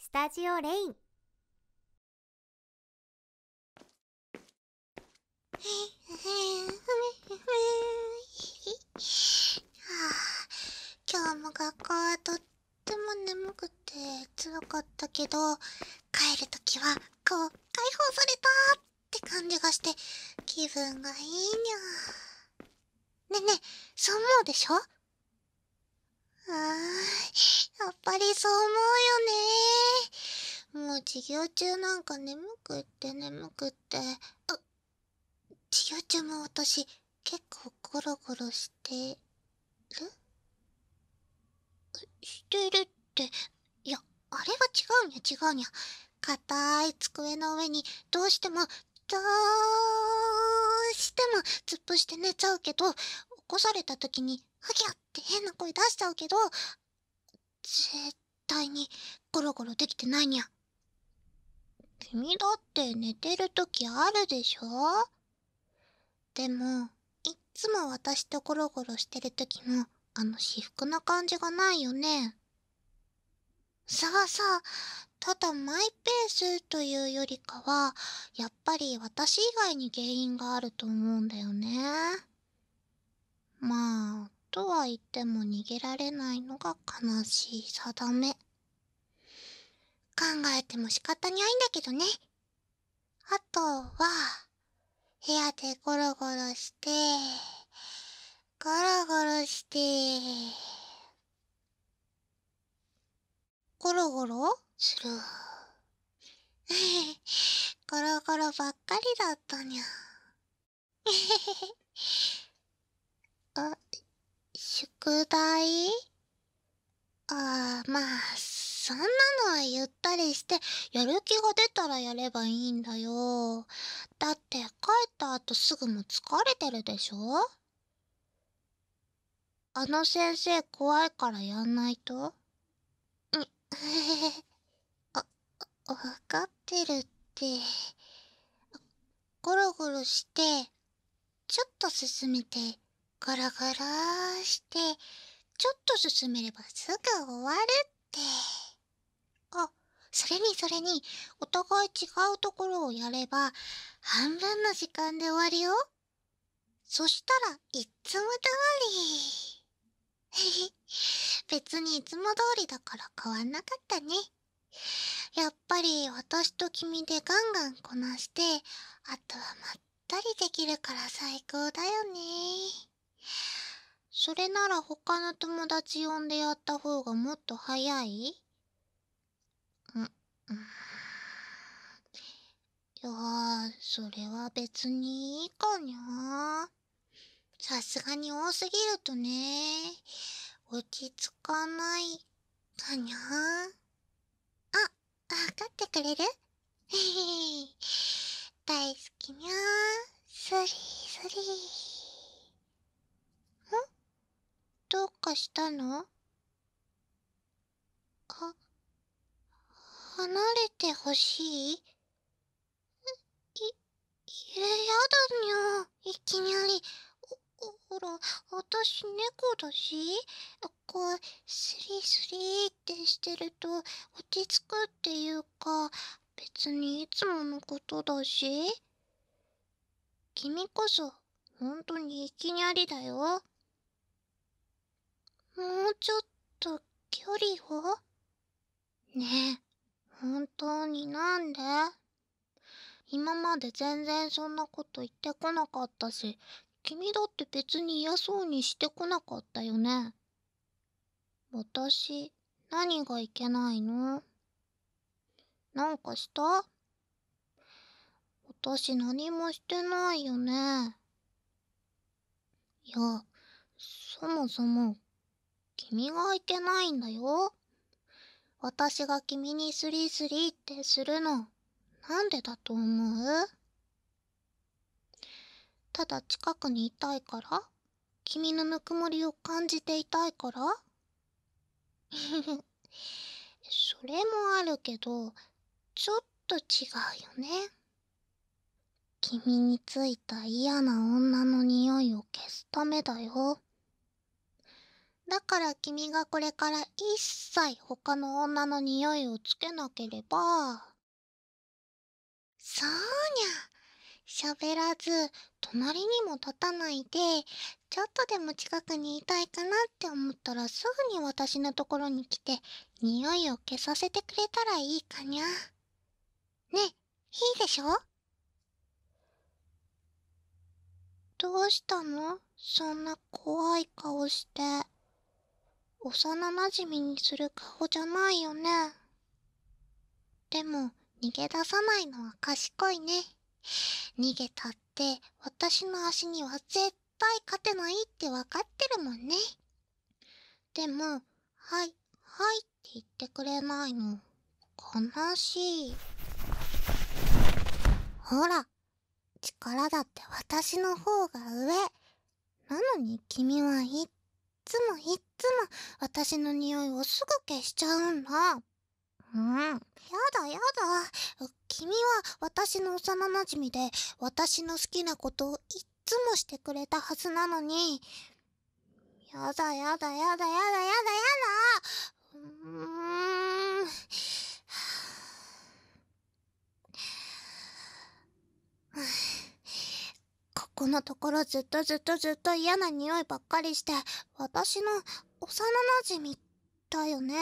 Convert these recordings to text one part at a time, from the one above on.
スタジオレイン 今日も学校はとっても眠くてつらかったけど帰るときはこう解放されたって感じがして気分がいいにゃねねそう思うでしょああ、やっぱりそう思うよね。もう授業中なんか眠くって眠くって。あ、授業中も私結構ゴロゴロしてるしてるって、いや、あれは違うにゃ違うにゃ。硬い机の上にどうしてもどうしても突っ伏して寝ちゃうけど、起こされた時に、ハギャって変な声出しちゃうけど、絶対にゴロゴロできてないにゃ。君だって寝てる時あるでしょでも、いっつも私とゴロゴロしてる時も、あの至福な感じがないよね。さあさただマイペースというよりかはやっぱり私以外に原因があると思うんだよねまあとは言っても逃げられないのが悲しい定め考えても仕方にないんだけどねあとは部屋でゴロゴロしてゴロゴロしてゴロゴロする。ゴロゴロばっかりだったにゃ。あ、宿題ああ、まあ、そんなのはゆったりして、やる気が出たらやればいいんだよ。だって帰った後すぐも疲れてるでしょあの先生怖いからやんないとん、へ あ、わかってるって。ゴロゴロして、ちょっと進めて、ガラガラして、ちょっと進めればすぐ終わるって。あ、それにそれに、お互い違うところをやれば、半分の時間で終わるよそしたらいっつも通り 別にいつも通りだから変わんなかったねやっぱり私と君でガンガンこなしてあとはまったりできるから最高だよねそれなら他の友達呼んでやった方がもっと早いいやそれは別にいいかにゃさすがに多すぎるとね落ち着かないかにゃあ分かってくれる 大好きにゃスリースリんどうかしたのあ、離れてほしいい、いやだにゃ。いきなり。ほら、私猫だし、こう、スリスリってしてると落ち着くっていうか、別にいつものことだし。君こそほんとにいきなりだよもうちょっと距離をねえ本当になんで今まで全然そんなこと言ってこなかったし君だって別に嫌そうにしてこなかったよね私何がいけないのなんかした私何もしてないよね。いや、そもそも、君がいけないんだよ。私が君にスリースリーってするの、なんでだと思うただ近くにいたいから君のぬくもりを感じていたいから それもあるけどちょっと違うよね君についた嫌な女の匂いを消すためだよだから君がこれから一切他の女の匂いをつけなければそうにゃ喋らず隣にも立たないでちょっとでも近くにいたいかなって思ったらすぐに私のところに来て匂いを消させてくれたらいいかにゃねいいでしょどうしたのそんな怖い顔して幼なじみにする顔じゃないよねでも逃げ出さないのは賢いね逃げたって。って私の足には絶対勝てないってわかってるもんねでも「はいはい」って言ってくれないの悲しいほら力だって私の方が上なのに君はいっつもいっつも私の匂いをすぐ消しちゃうんだやだやだ君は私の幼馴染で私の好きなことをいっつもしてくれたはずなのにやだやだやだやだやだやだうんここのところずっとずっとずっと嫌な匂いばっかりして私の幼なじみっだよね。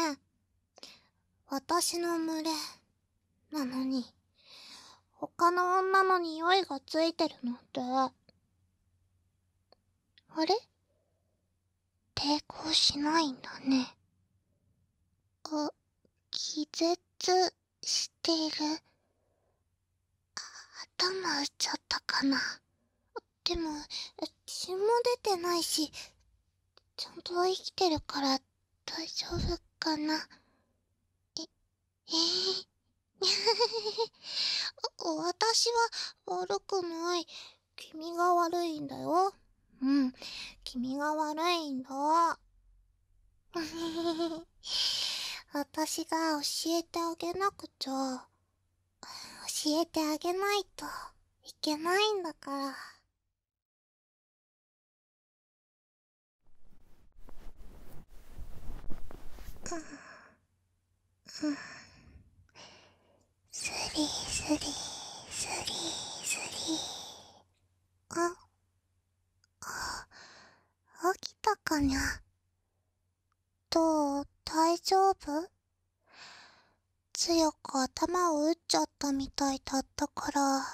私の群れ、なのに、他の女の匂いがついてるなんて。あれ抵抗しないんだね。あ、気絶している。頭打っちゃったかな。でも血も出てないしちゃんと生きてるから大丈夫かなええー 私は悪くない。君が悪いんだよ。うん。君が悪いんだ。私が教えてあげなくちゃ。教えてあげないといけないんだから。うんうんスリースリースリースリーああ起きたかにゃどう大丈夫強く頭を打っちゃったみたいだったから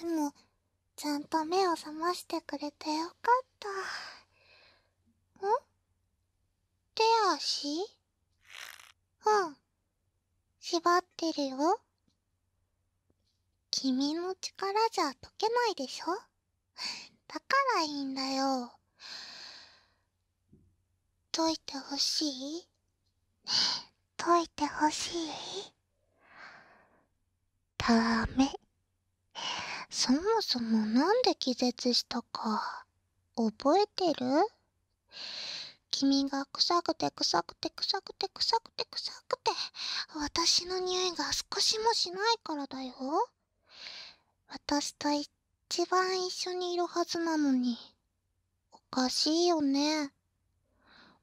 でもちゃんと目を覚ましてくれてよかったん手足うん縛ってるよ君の力じゃ解けないでしょだからいいんだよ解いてほしい 解いてほしいダメそもそもなんで気絶したか覚えてる君が臭くて臭くて臭くて臭くて臭くて私の匂いが少しもしないからだよ私と一番一緒にいるはずなのにおかしいよね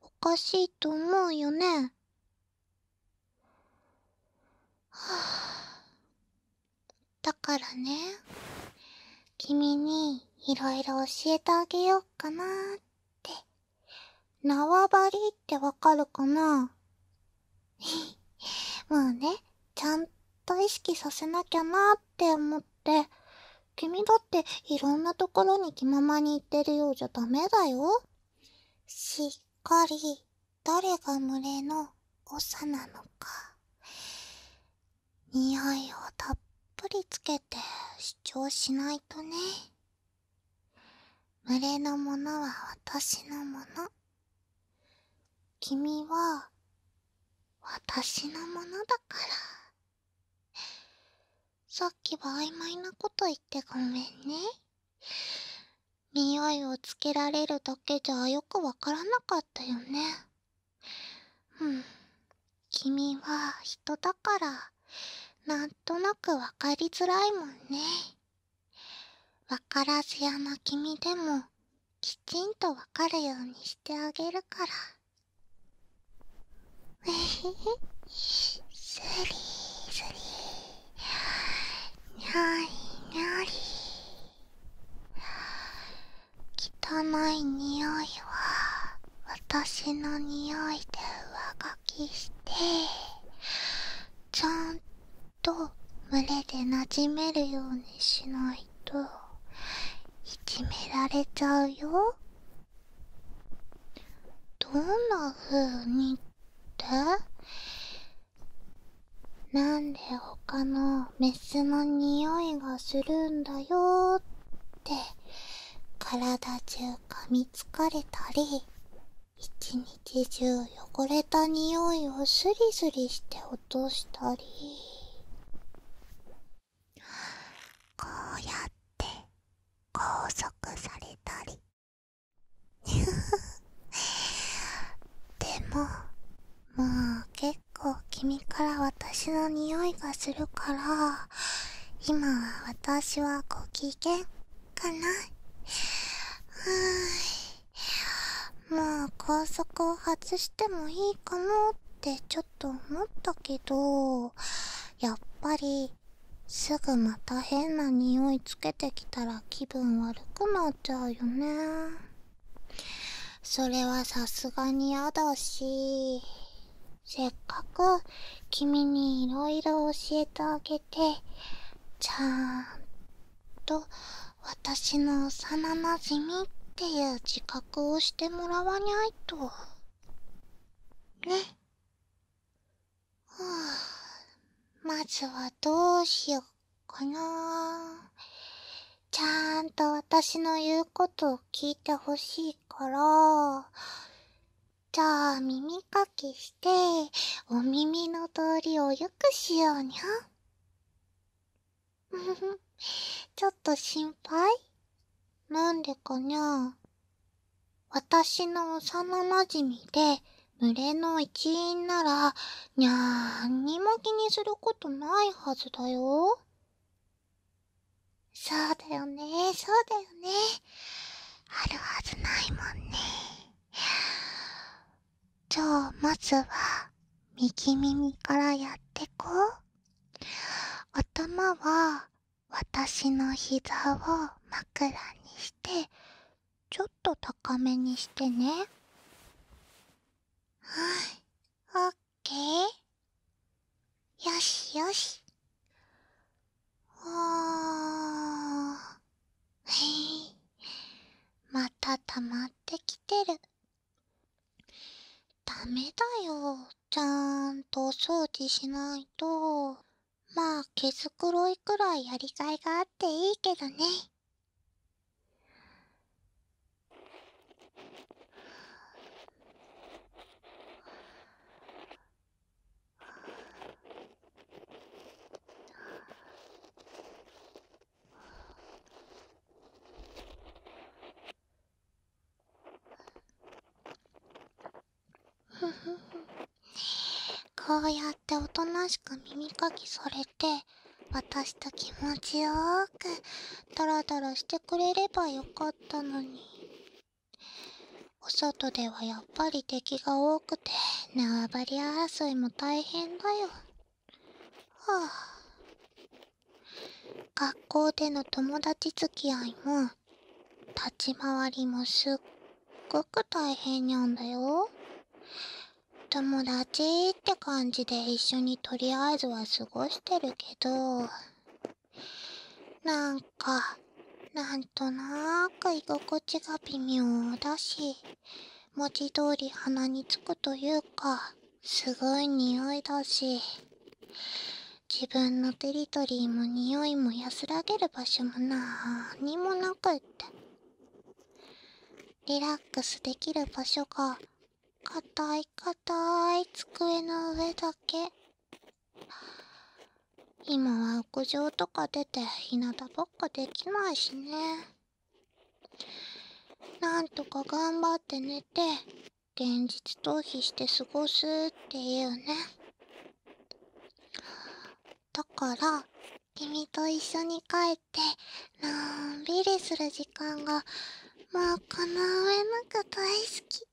おかしいと思うよねはあだからね君にいろいろ教えてあげようかなって縄張りってわかるかな もうねちゃんと…と意識させなきゃなって思って、君だっていろんなところに気ままに行ってるようじゃダメだよ。しっかり、誰が群れの長なのか。匂いをたっぷりつけて主張しないとね。群れのものは私のもの。君は私のものだからさっきは曖昧なこと言ってごめんね匂いをつけられるだけじゃよくわからなかったよねうん君は人だからなんとなくわかりづらいもんねわからず屋な君でもきちんとわかるようにしてあげるからえへへスリースリーにゃりにゃり汚い匂いは私の匂いで上書きしてちゃんと群でなじめるようにしないといじめられちゃうよどんなふうにってなんで他のメスの匂いがするんだよって体中噛みつかれたり一日中汚れた匂いをスリスリしてお落としたりこうやって拘束されたりふふ… でももう結構君から私の匂いがするから今は私はご機嫌かなはーまあ高速を外してもいいかなってちょっと思ったけどやっぱりすぐまた変な匂いつけてきたら気分悪くなっちゃうよねそれはさすがに嫌だしせっかく君にいろいろ教えてあげてちゃんと私の幼なじみっていう自覚をしてもらわにゃいとねはあまずはどうしよっかなちゃんと私の言うことを聞いてほしいからじゃあ耳かきしてお耳の通りをよくしようにゃ。ちょっと心配なんでかにゃ。私の幼なじみで、群れの一員なら、にゃーんにも気にすることないはずだよ。そうだよね、そうだよね。あるはずないもんね。じゃあまずは右耳からやってこう頭は私の膝を枕にしてちょっと高めにしてねはいオッケーよしよしあーへいまた溜まってきてるダメだよちゃんとお掃除しないとまあ毛づくろいくらいやりがいがあっていいけどね こうやっておとなしく耳かきされて私と気持ちよくダラダラしてくれればよかったのにお外ではやっぱり敵が多くて縄張り争いも大変だよはあ学校での友達付き合いも立ち回りもすっごく大変にゃんだよ友達って感じで一緒にとりあえずは過ごしてるけどなんかなんとなく居心地が微妙だし文字通り鼻につくというかすごい匂いだし自分のテリトリーも匂いも安らげる場所もなーにもなくってリラックスできる場所が硬い硬い机の上だけ今は屋上とか出て日向ばっかできないしね。なんとか頑張って寝て現実逃避して過ごすっていうねだから君と一緒に帰ってのんびりする時間がもうこの上なく大好き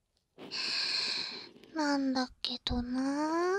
なんだけどな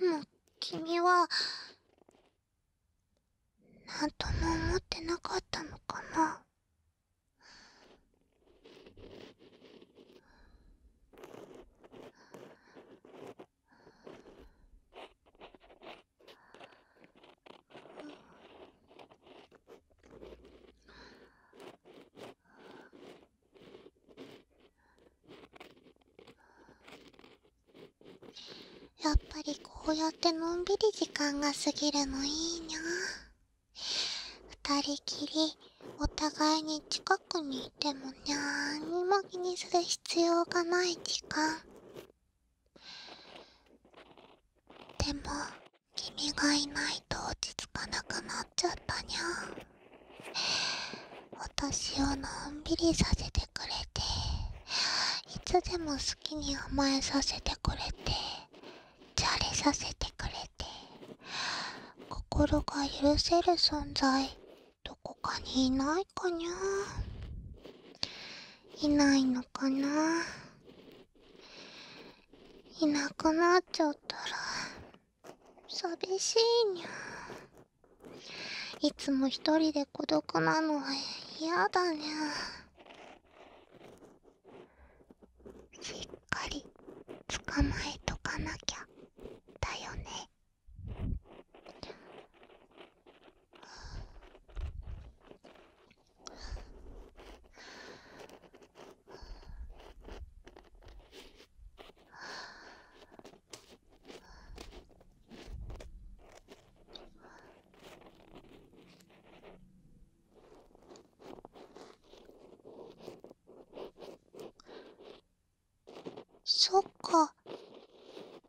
でも君はなんとも思ってなかったのかなううやっぱりこうやってのんびり時間が過ぎるのいいにゃ二人きりお互いに近くにいてもにゃーにも気にする必要がない時間でも君がいないと落ち着かなくなっちゃったにゃ私をのんびりさせてくれていつでも好きに甘えさせてくれてじゃれさせてくれて心が許せる存在どこかにいないかにゃいないのかないなくなっちゃったら寂しいにゃいつも一人で孤独なのは嫌だにゃしっかり捕まえとかなきゃだよねそっか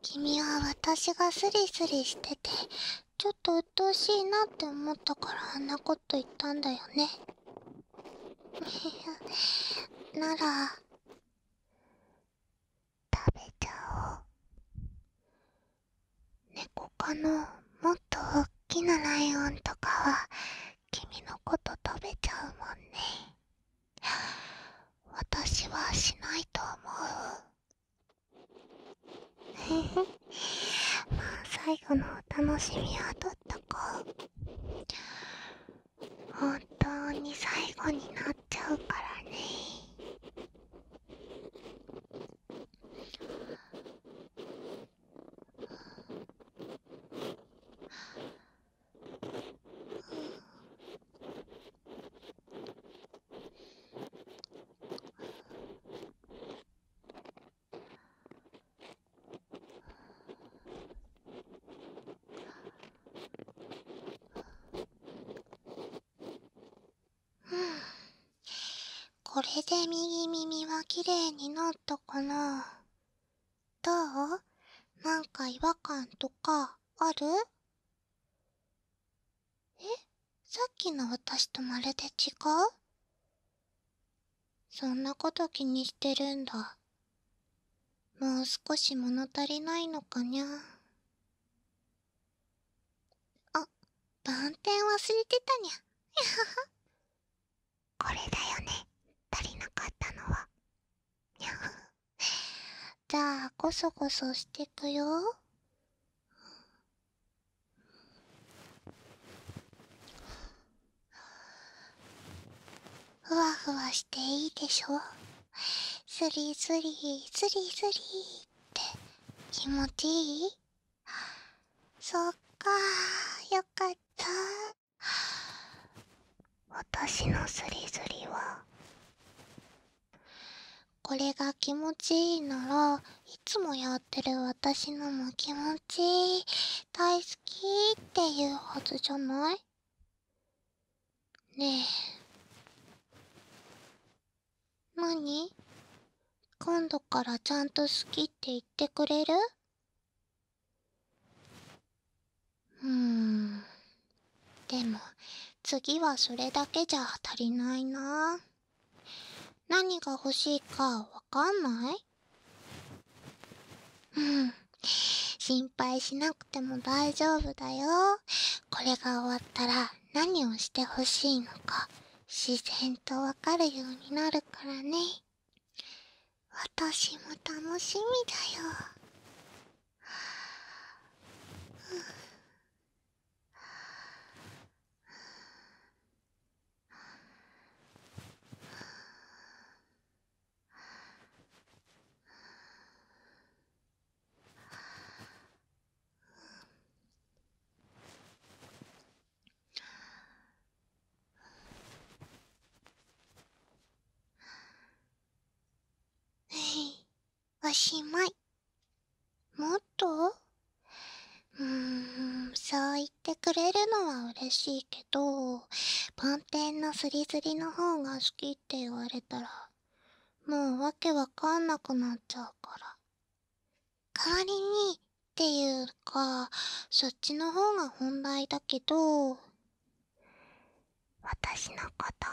君は私がスリスリしててちょっと鬱陶しいなって思ったからあんなこと。こと言ったんだよね なら食べちゃおう猫科のもっとおっきなライオンとかは君のこと食べちゃうもんね 私はしないと思う まあ最後のお楽しみはどったか本当に最後になっちゃうからね これで右耳は綺麗になったかなどうなんか違和感とかあるえさっきの私とまるで違うそんなこと気にしてるんだもう少し物足りないのかにゃあ番天忘れてたにゃ これだよね足りなかったのはにゃ じゃあこそこそしてくよふわふわしていいでしょスリスリスリスリって気持ちいいそっかーよかった私のスリスリはこれが気持ちいいならいつもやってる私のも気持ちいい大好きっていうはずじゃないねえ何今度からちゃんと好きって言ってくれるうんでも次はそれだけじゃ足りないな何が欲しいかわかんないうん心配しなくても大丈夫だよこれが終わったら何をしてほしいのか自然とわかるようになるからね私も楽しみだよおしまい。もっとうーん、そう言ってくれるのは嬉しいけどパンのスリスリの方が好きって言われたらもうわけわかんなくなっちゃうから代わりにっていうかそっちの方が本題だけど私のこと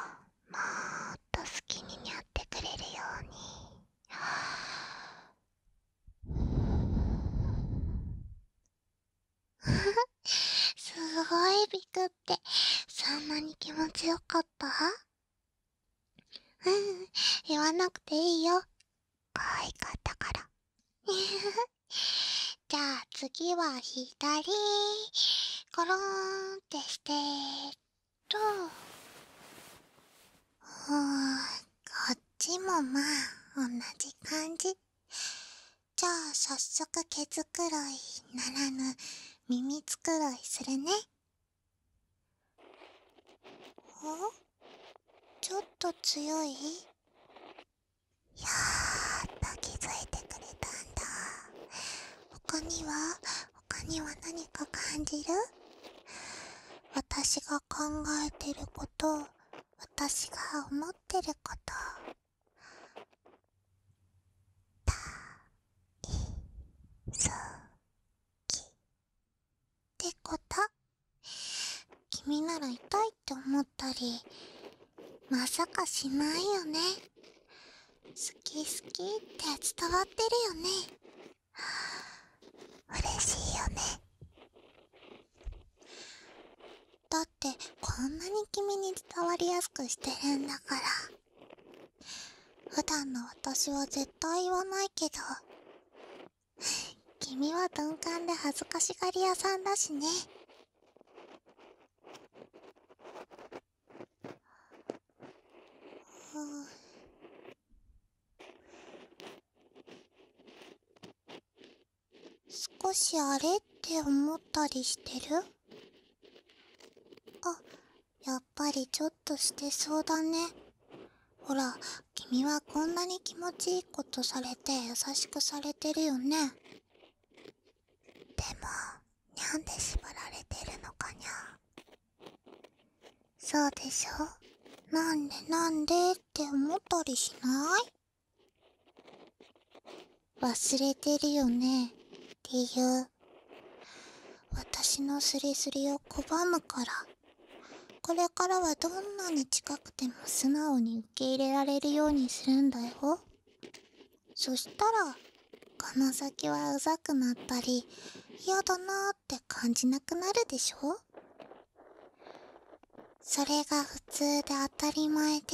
もっと好きにやってくれるように すごいビクってそんなに気持ちよかったうん言わなくていいよ可いかったから じゃあ次は左コローンってしてっとうんこっちもまあ同じ感じじゃあさっそく毛づくろいならぬ耳つくろいするねおちょっと強いやっと気づいてくれたんだ他には他には何か感じる私が考えてること私が思って…ってること大好きってこと君なら痛いって思ったりまさかしないよね好き好きって伝わってるよね嬉しいよねだってこんなに君に伝わりやすくしてへんだから普段の私は絶対言わないけど君は鈍感で恥ずかしがり屋さんだしねうう。少しあれって思ったりしてるあやっぱりちょっとしてそうだねほら君はこんなに気持ちいいことされて優しくされてるよねでもにゃんで縛られてるのかにゃそうでしょなんでなんでって思ったりしない忘れてるよねっていう私のすりすりを拒むからこれからはどんなに近くても素直に受け入れられるようにするんだよそしたらこの先はうざくなったり嫌だなって感じなくなるでしょそれが普通で当たり前で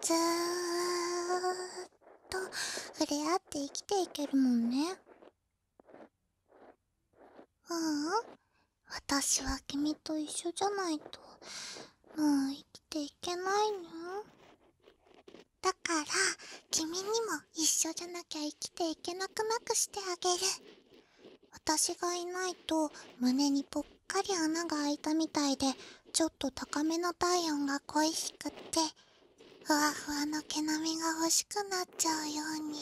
ずーっと触れ合って生きていけるもんねううん私は君と一緒じゃないともう生きていけないのだから君にも一緒じゃなきゃ生きていけなくなくしてあげる私がいないと胸にぽっかり穴が開いたみたいでちょっと高めの体温が恋しくってふわふわの毛並みが欲しくなっちゃうように。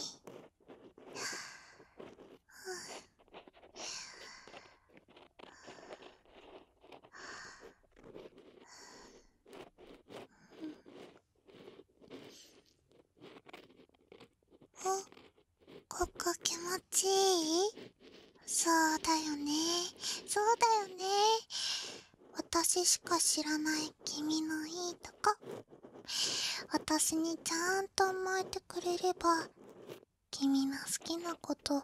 あここ気持ちいいそうだよねそうだよね私しか知らない君のいいとこ私にちゃんと甘えてくれれば君の好きなこと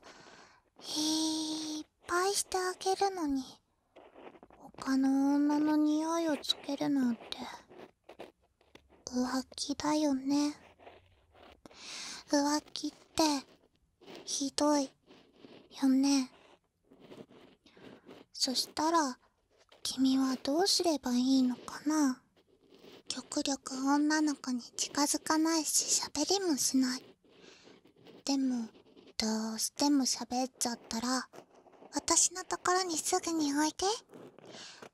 いっぱいしてあげるのに他の女の匂いをつけるなんて浮気だよね浮気ってひどいよねそしたら君はどうすればいいのかな極力女の子に近づかないし喋りもしないでもどうしても喋っちゃったら私のところにすぐにおいで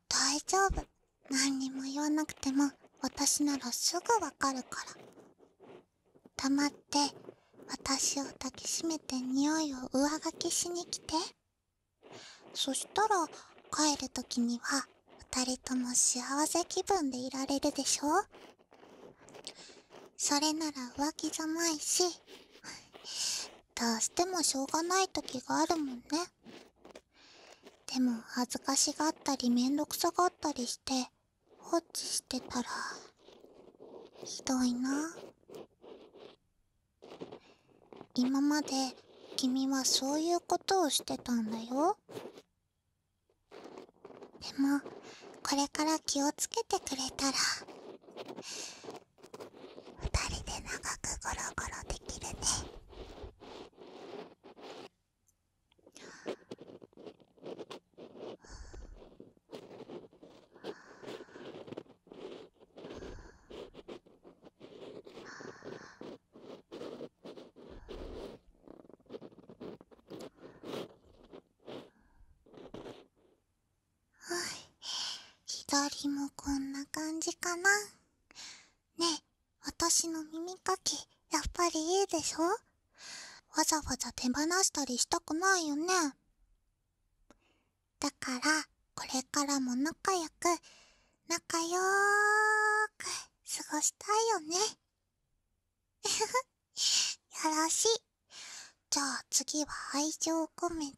大丈夫何にも言わなくても私ならすぐわかるから黙って私を抱きしめて匂いを上書きしに来てそしたら帰る時には2人とも幸せ気分でいられるでしょそれなら浮気じゃないしどうしてもしょうがない時があるもんねでも恥ずかしがったりめんどくさがったりして放置してたらひどいな今まで君はそういうことをしてたんだよでもこれから気をつけてくれたら二人で長くゴロゴロできるねはい左もこんな感じかな。ねえ私の耳かきやっぱりいいでしょわざわざ手放したりしたくないよねだからこれからも仲良く仲よーく過ごしたいよね よろしいじゃあ次は愛情を込めて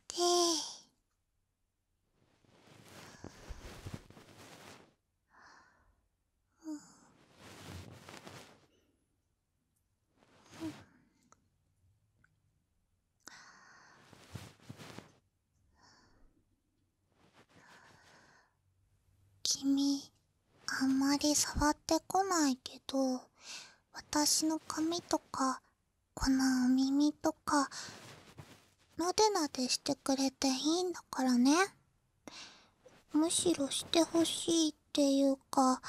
君あんまり触ってこないけど私の髪とかこのお耳とかなでなでしてくれていいんだからねむしろしてほしいっていうか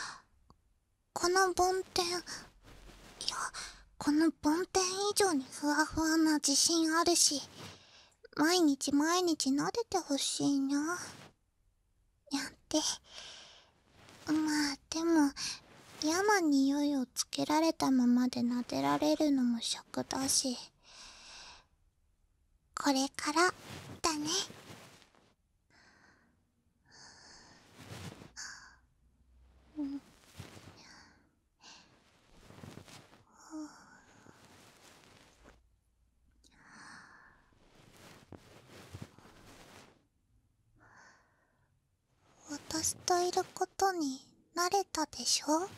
この梵天いやこの梵天以上にふわふわな自信あるし毎日毎日撫でてほしいなやってまあでも嫌な匂いをつけられたままで撫でられるのも尺だしこれからだねうん私といることに慣れたでしょ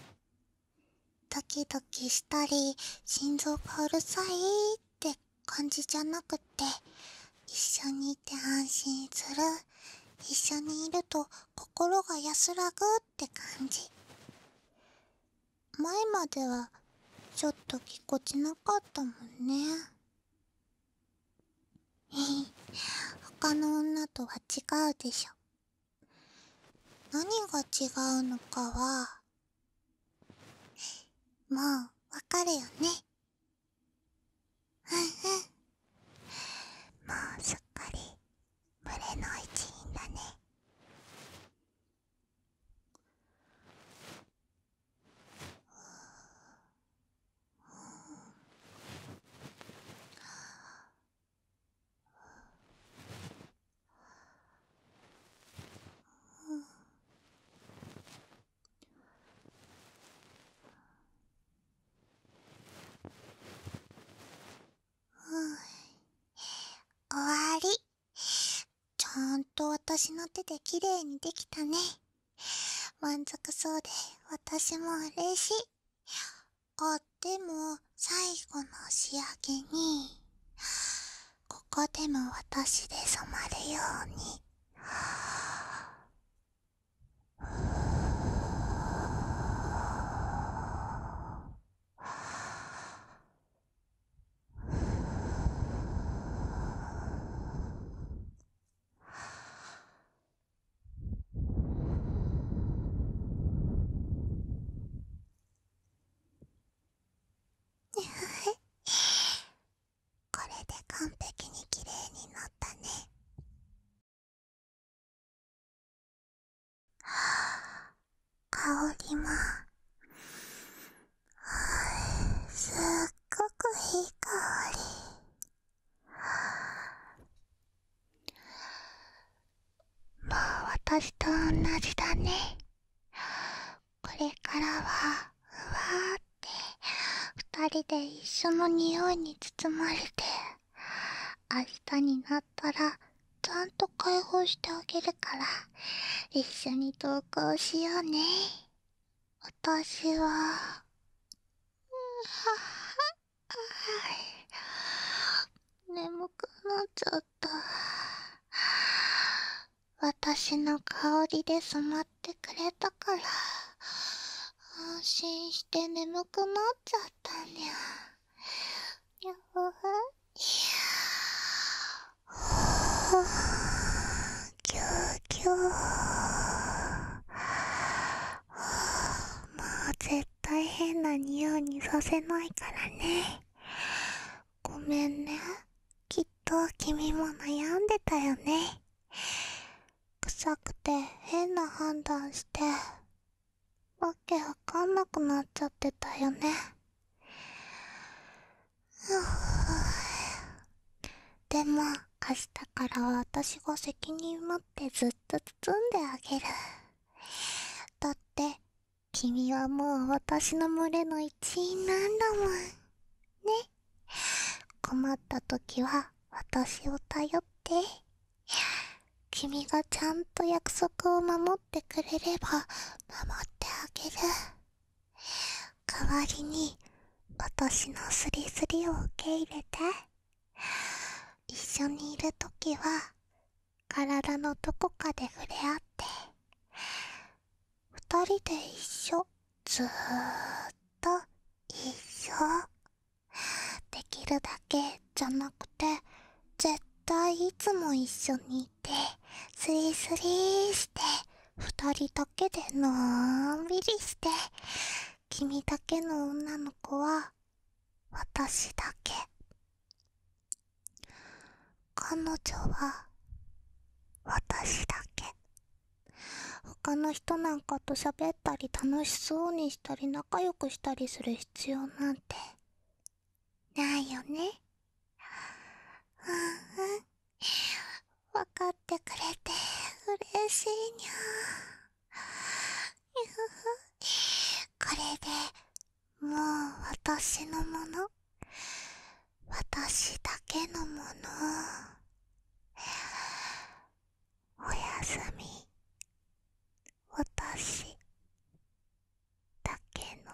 ドキドキしたり心臓がうるさいって感じじゃなくて一緒にいて安心する一緒にいると心が安らぐって感じ前まではちょっとぎこちなかったもんね他の女とは違うでしょ何が違うのかはもうわかるよねうんうんもうすっかり群れの一員だねうん…ううん。ん。終わりちゃんと私の手で綺麗にできたね満足そうで私も嬉しいあでも最後の仕上げにここでも私で染まるように。これで完璧に綺麗になったねはあ 香りも、すっごくいい香りはもう私とおんなじだねこれからはふわーって二人で一緒の匂いに包まれて明日になったらちゃんと解放してあげるから一緒に登校しようね私ははは眠くなっちゃった私の香りで染まってくれたから安心して眠くなっちゃったにゃにゃほほぎゅうぎゅうまあ絶対変な匂いにさせないからねごめんねきっと君も悩んでたよね臭くて変な判断してわけわかんなくなっちゃってたよねでも明日からはしが責任持って…ってずっと包んであげるだって君はもう私の群れの一員なんだもんね困った時は私を頼って君がちゃんと約束を守ってくれれば守ってあげる代わりに私のスリスリを受け入れて一緒にいるときは体のどこかで触れ合って二人で一緒ずーっと一緒できるだけじゃなくて絶対いつも一緒にいてスリスリして二人だけでのんびりして君だけの女の子は私だけ彼女は私だけ他の人なんかと喋ったり楽しそうにしたり仲良くしたりする必要なんてないよねうんうん分かってくれて嬉しいにゃこれでもう私のもの私だけのものおやすみ私だけの